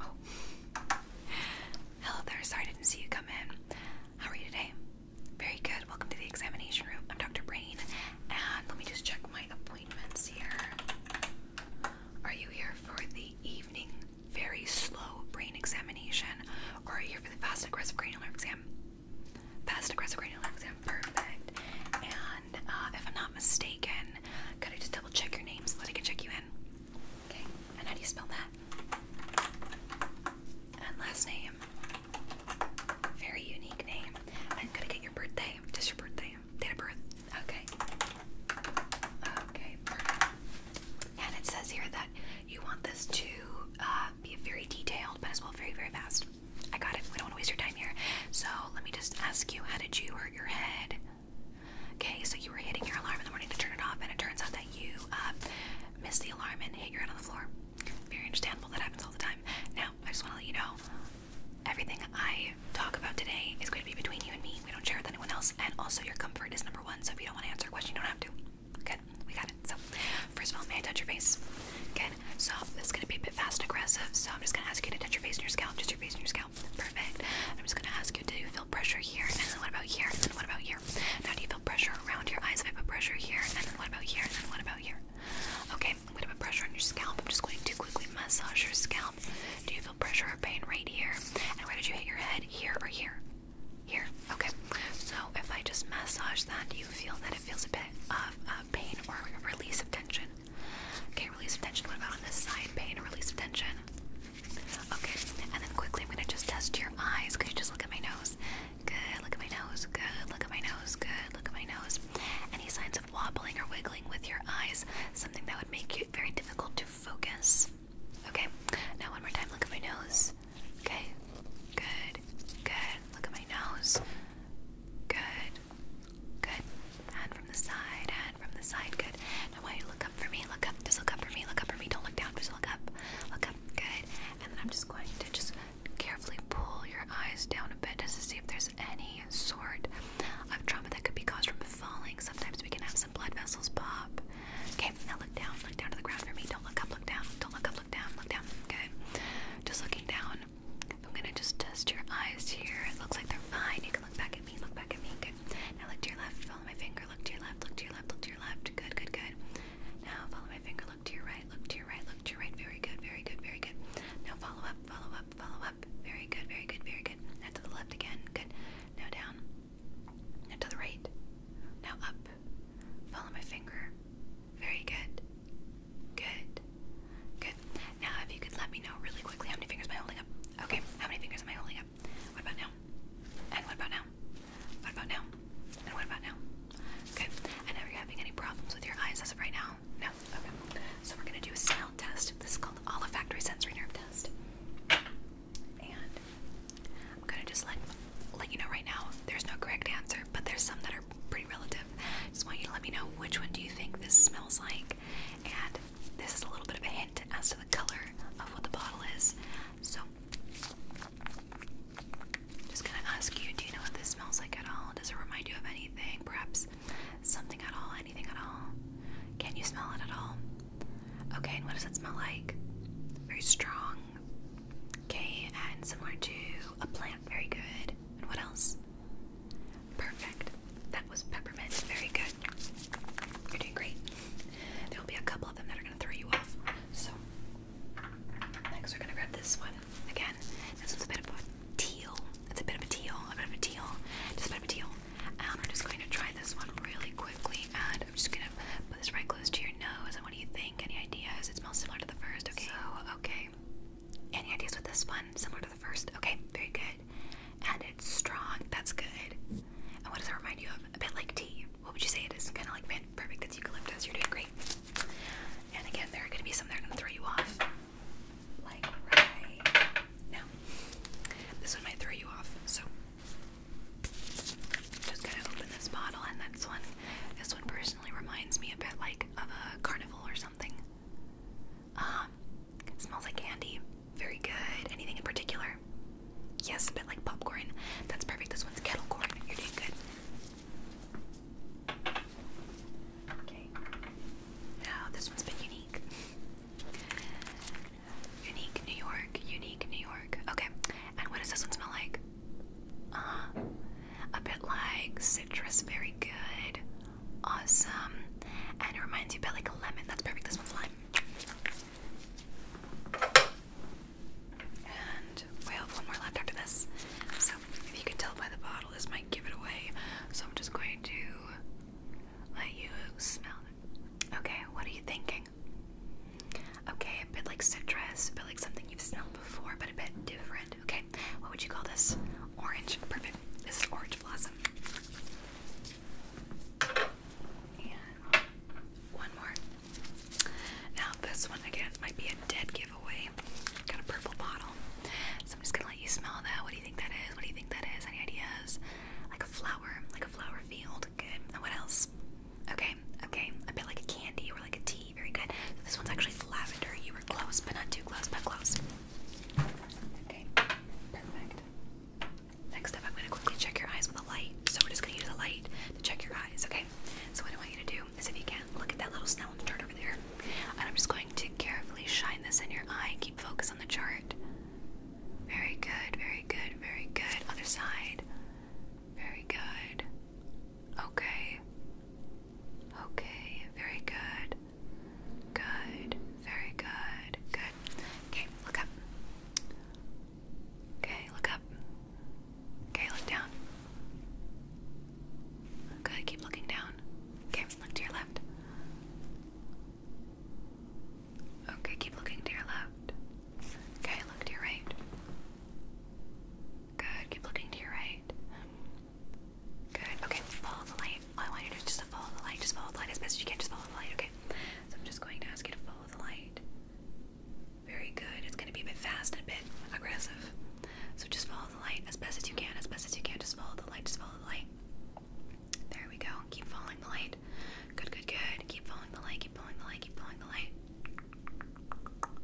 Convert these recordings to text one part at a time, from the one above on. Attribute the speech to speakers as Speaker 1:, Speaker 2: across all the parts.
Speaker 1: Oh. Hello there. Sorry I didn't see you come in. How are you today? Very good. Welcome to the examination room. I'm Dr. Brain. And let me just check my appointments here. Are you here for the evening very slow brain examination? Or are you here for the fast aggressive cranial exam? Fast aggressive brain exam. Perfect. And uh, if I'm not mistaken, could I just double check your name so that I can check you in? Okay. And how do you spell that? And last name. Very unique name. And could I get your birthday? Just your birthday. Date of birth. Okay. Okay. And it says here that you want this to uh, be very detailed, but as well very, very fast. I got it. We don't want to waste your time here. So let me just ask you, how did you hurt your head? Okay, so you were hitting your alarm in the morning to turn it off, and it turns out that you um, missed the alarm and hit your head on the floor. Very understandable. That happens all the time. Now, I just want to let you know everything I talk about today is going to be between you and me. We don't share with anyone else. And also, your comfort is number one. So if you don't want to answer a question, you don't have to. Okay, we got it. So, first of all, may I touch your face? Okay, so this is gonna be a bit fast and aggressive. So I'm just gonna ask you to touch your face and your scalp, just your face and your scalp. Perfect. I'm just gonna ask you, do you feel pressure here? And then what about here? And then what about here? Now do you feel pressure around your eyes? If I put pressure here, and then what about here? And then what about here? Okay, I'm gonna put pressure on your scalp. I'm just going to quickly massage your scalp. Do you feel pressure or pain right here? And where did you hit your head? Here or here? Here. Okay. So if I just massage that, do you feel that it feels a bit of uh, pain or release of tension? Okay, release tension. What about on this side? Pain release tension? Okay, and then quickly, I'm gonna just test your eyes. Could you just look at my nose? Good, look at my nose. Good, look at my nose. Good, look at my nose. Any signs of wobbling or wiggling with your eyes? Something that would make it very difficult to focus. Okay, now one more time. Look at my nose. Okay, good, good. Look at my nose. Good, Good. Good. from the side. And from the side. Good. Now why you look up for me? Look up. Just look up for me. Look up for me. Don't look down. Just look up. Look up. Good. And then I'm just going to just carefully pull your eyes down a bit just to see if there's any sort of trauma that could be caused from falling. Sometimes we can have some blood vessels pop. Okay, now look down, look down to the ground for me. Don't look up, look down, don't look up, look down, look down. Okay. Just looking down on. I'm gonna just test your eyes here. It looks like they're fine. You can look back at me, look back at me. Good. Now look to your left, follow my finger, look to your left, look to your left, look to your left. Good, good, good. Now follow my finger, look to your right, look to your right, look to your right. Very good, very good, very good. Now follow up, follow up, follow up. Very good, very good, very good. Now to the left again. Good. Now down. Now to the right. Now up. Follow my finger. Very good. Good. Good. Now, if you could let me know really quickly how many fingers am I holding up? Okay, how many fingers am I holding up? What about now? And what about now? What about now? And what about now? Okay. And are you having any problems with your eyes as of right now? No. Okay. So we're gonna do a smell test. This is called olfactory sensory nerve test. And I'm gonna just let let you know right now there's no correct answer, but there's some that are pretty relative. Just want you to let me know which one do you think this smells like, and this is a little bit of a hint as to the color of what the bottle is. So, just gonna ask you, do you know what this smells like at all? Does it remind you of anything? Perhaps something at all? Anything at all? Can you smell it at all? Okay, and what does it smell like? Very strong. Okay, and similar to a plant. Very good. And what else? Perfect. That was peppermint. Very good. You're doing great. There will be a couple of them that are going to throw you off. So, next we're going to grab this one. Again, this one's a bit of a teal. It's a bit of a teal, a bit of a teal, just a bit of a teal. Um, I'm just going to try this one really quickly, and I'm just going to put this right close to your nose. And what do you think? Any ideas? It's smells similar to the first. Okay. okay. Any ideas with this one? Similar to the first? Okay, very good. And it's strong. That's good. And what does that remind you of? A bit like tea. What would you say it is? Kind of like, man, perfect. That's eucalyptus. You're doing great. And again, there are going to be some that are going to throw you off. Like right now. This one might throw you off. So, just going to open this bottle and that's one. This one, per reminds me a bit like of a carnival or something. Um, it smells like candy. Very good. Anything in particular? Yes, a bit like popcorn. That's perfect. This one's kettle corn. You're doing good. Okay. Now this one's been unique. Unique New York. Unique New York. Okay. And what does this one smell like? Uh, a bit like citrus, very good. Awesome. And it reminds you a like a lemon. That's perfect. This one's lime. And we have one more left after this. So if you could tell by the bottle, this might give it away. So I'm just going to let you smell it. Okay, what are you thinking? Okay, a bit like citrus, a bit like something you've smelled before, but a bit different. Okay, what would you call this? Orange. Perfect. This is orange blossom. And one more. Now, this one again might be a dead giveaway. Got a purple bottle. So I'm just gonna let you smell that. What do you think that is? What do you think that is? Any ideas? Like a flower, like a flower field. Good. And what else? Okay, okay. A bit like a candy or like a tea. Very good. this one's actually lavender. You were close, but not too close, but close. Okay, perfect. Next up, I'm going to quickly check your eyes with a light. So we're just going to use a light to check your eyes, okay? So what I want you to do is if you can, look at that little Snellen chart over there. And I'm just going to carefully shine this in your eye. Keep focus on the chart. Very good, very good, very good. Other side. Very good. Okay. Okay, very good. Good, very good. Good. Okay, look up. Okay, look up. Okay, look down. Good, keep looking down. Okay, look to your left. Okay, keep looking to your left. Okay, look to your right. Good, keep looking to your right. Good, okay, follow the light. All I want you to do is just follow the light. Just follow the light as best as you can. Just follow the light, okay? So I'm just going to ask you to follow the light. Very good. It's going to be a bit fast and a bit aggressive. So just follow the light as best as you can. As best as you can. Just follow the light. Just follow the light. There we go. Keep following the light light. Good, good, good. Keep following the light, keep following the light, keep following the light.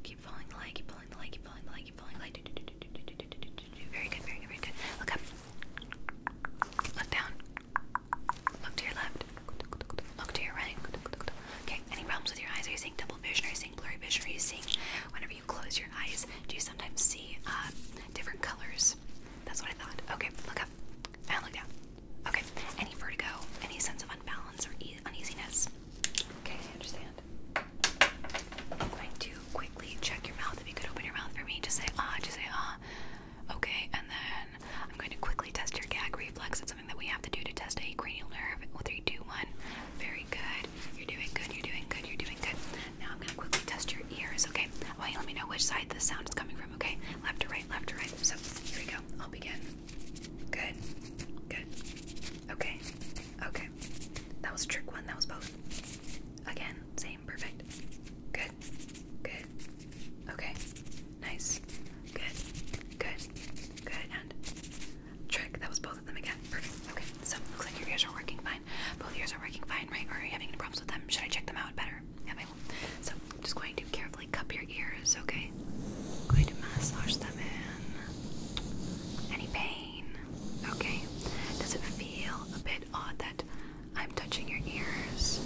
Speaker 1: Keep following the light, keep following the light, keep following the light, keep following the light. Do, do, do, do, do, do, do, do, do. Very good, very good, very good. Look up. Look down. Look to your left. Look to your right. Okay, any problems with your eyes? Are you seeing double vision? Are you seeing blurry vision? Are you seeing whenever you close your eyes, do you sometimes see uh, different colors? That's what I thought. Okay, look up and look down. Okay, any vertigo, any sense of unbalance or uneasiness? Okay, I understand. I'm going to quickly check your mouth. If you could open your mouth for me, just say ah, just say ah. Okay, and then I'm going to quickly test your gag reflex. It's something that we have to do to test a cranial nerve. Well, three, two, one. Very good. You're doing good. You're doing good. You're doing good. Now I'm going to quickly test your ears. Okay. Why? you let me know which side the sound is coming from okay? Left or right, left or right. So here we go. I'll begin. Good. Good. Okay. Okay. That was trick one. That was both. Again, same. Perfect. Good. Good. Okay. Nice. Good. Good. Good. And trick. That was both of them again. Perfect. Okay. So looks like your ears are working fine. Both ears are working fine, right? Or are you having any problems with them? Should I check them out better? so I'm just going to carefully cup your ears, okay? I'm going to massage them in. Any pain? Okay. Does it feel a bit odd that I'm touching your ears?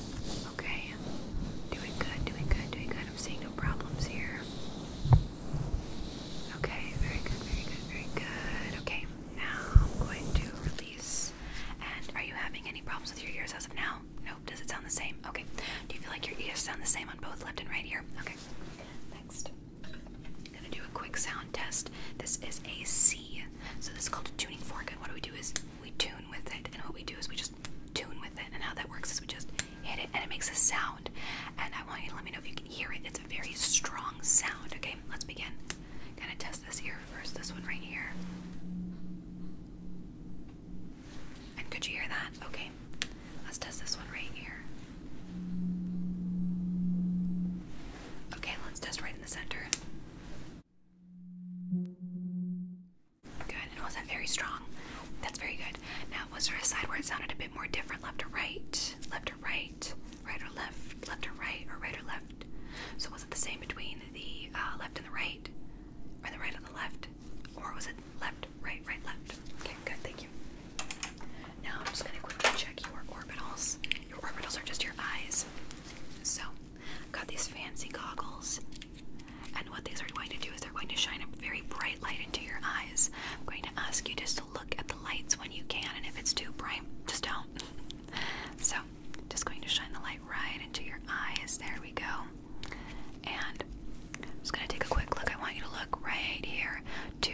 Speaker 1: Okay. Doing good, doing good, doing good. I'm seeing no problems here. Okay, very good, very good, very good. Okay, now I'm going to release and are you having any problems with your ears as of now? Nope. Does it sound the same? Okay. Do you feel like your ears sound the same on both left and right ear? Okay. Next. I'm gonna do a quick sound test. This is a C. So this is called a tuning fork, and what we do is we tune with it, and what we do is we just tune with it, and how that works is we just
Speaker 2: hit it and it makes a sound.
Speaker 1: And I want you to let me know if you can hear it. It's a very strong sound, okay? Let's begin. Kinda this ear first, this one right here. And could you hear that? Okay, let's test this one right here. Okay, let's test right in the center. Good, and was that very strong? That's very good. Now, was there a side where it sounded a bit more different, left or right, left or right, right or left, left or right, or right or left? So was it the same between the uh, left and the right, or the right and the left, or was it left, right, right, left? Okay, good, thank you. Now I'm just gonna quickly check your orbitals. Your orbitals are just your eyes. So, I've got these fancy goggles, and what these are going to do is they're going to shine a very bright light into your eyes. I'm going to ask you just to look at the lights when you can, and if it's too bright, just don't. So, just going to shine the light right into your eyes. There we go. And I'm just going to take a quick look. I want you to look right here to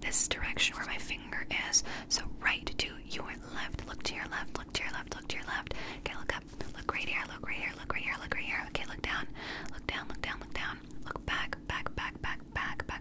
Speaker 1: this direction where my finger is. So, right to your left. Look to your left. Look to your left. Look to your left. Okay, look up. Look right here. Look right here. Look right here. Look right here. Okay, look down. Look down. Look down. Look down. Look back. Back. Back. Back. Back. Back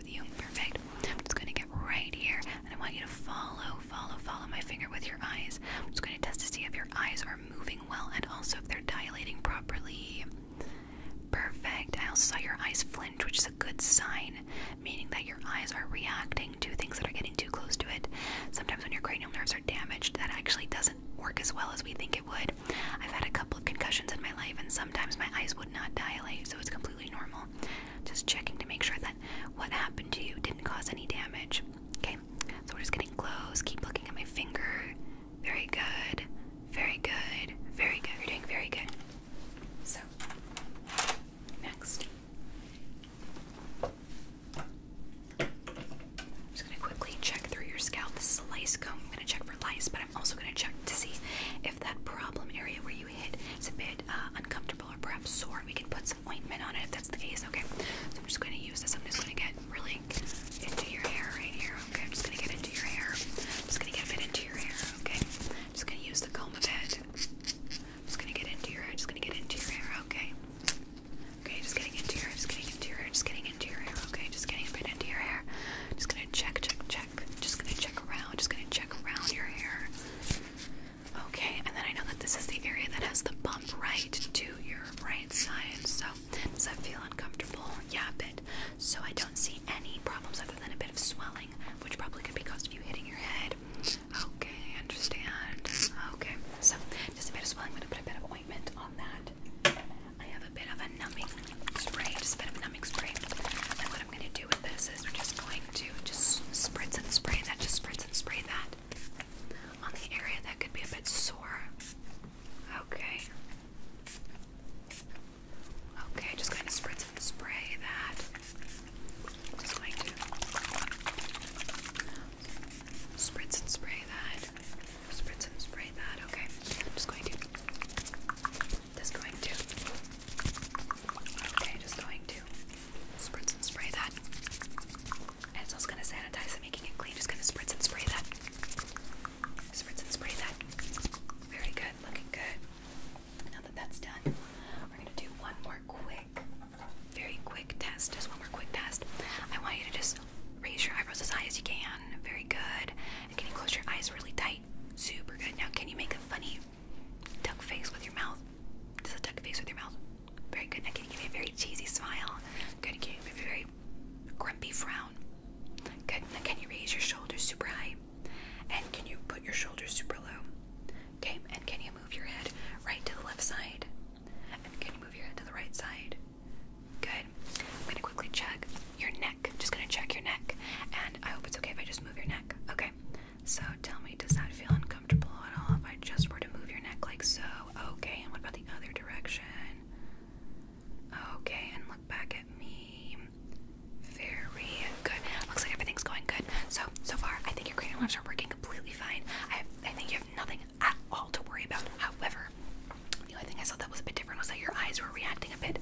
Speaker 1: Perfect. I'm just gonna get right here and I want you to follow, follow, follow my finger with your eyes. I'm just gonna test to see if your eyes are moving well and also if they're dilating properly. Perfect. I also saw your eyes flinch, which is a good sign, meaning that your eyes are reacting to things that are getting too close to it. Sometimes when your cranial nerves are damaged, that actually doesn't work as well as we think it would. I've had a couple of concussions in my life, and sometimes my eyes would not dilate, so it's completely normal. Just checking to make sure that what happened to you didn't cause any damage. Okay, so we're just getting close. Keep looking at my finger. Very good. Very good. Very good. You're doing very good. So, next. I'm just gonna quickly check through your scalp. This is a lice comb. I'm gonna check for lice, but I'm also going to check to see if that problem area where you hit is a bit uh, uncomfortable or perhaps sore. We can put some ointment on it if that's the case. Okay. So I'm just going to use this. I'm just going to get really into your hair right here. Okay. I'm just going to get into your hair. I'm just going to get a bit into your hair. Okay. I'm just going to use the comb a bit. I'm just going to get into your hair. Just going to get into your hair. Okay. Okay. Just getting into your hair. Just getting into your hair. Just getting into your hair. Okay. Just getting a bit into your hair. Just going to check, check, check. Just gonna check around. Just gonna check around your hair. Okay, and then I know that this is the area that has the bump right to your right side. So does that feel uncomfortable? Yeah, a bit. So I don't see any problems other than a bit of swelling, which probably could be caused of you hitting your head. Okay, I understand. Okay, so just a bit of swelling. I'm gonna put a bit of ointment on that. I have a bit of a numbing spray, just a bit of a numbing spray. And what I'm going to do with this is we're just going to just spritz and spray that, just spritz and spray that on the area that could be a bit sore. Okay. Okay, just going to spritz and spray that. Just going to spritz and spray that spritz and spray that. Okay, I'm just going to. Just going to. Okay, just going to spritz and spray that. And it's also gonna sanitize it, making it clean. Just gonna spritz and spray that. Spritz and spray that. Very good, looking good. Now that that's done, we're gonna do one more quick, very quick test. Just one more quick test. I want you to just Raise your eyebrows as high as you can. Very good. And can you close your eyes really tight? Super good. Now, can you make a funny duck face with your mouth? Just a duck face with your mouth. Very good. Now, can you give me a very cheesy smile? Can you give me a very grumpy frown? Good. Now, can you raise your shoulders super high? And can you put your shoulders super low? Okay. And can you move your head right to the left side? And can you move your head to the right side? Good. I'm gonna quickly check your neck. Just gonna check your neck, and I hope it's okay if I just move your neck. Okay. So tell me, does that feel uncomfortable at all if I just were to move your neck like so? Okay. And what about the other direction? Okay. And look back at me. Very good. Looks like everything's going good. So so far, I think your cranial nerves are working completely fine. I think you have nothing at all to worry about. However, the only thing I saw that was a bit different was that your eyes were reacting a bit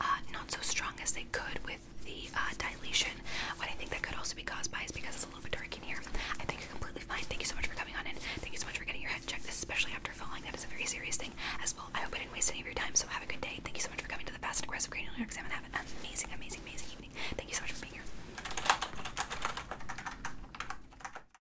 Speaker 1: uh, not so strong as they could with the uh, dilation. What I think that could also be caused by is because it's a little bit dark in here. I think you're completely fine. Thank you so much for coming on in. Thank you so much for getting your head checked, especially after falling. That is a very serious thing as well. I hope I didn't waste any of your time, so have a good day. Thank you so much for coming to the Fast and Aggressive Cranial Exam and have an amazing, amazing, amazing evening. Thank you so much for being here.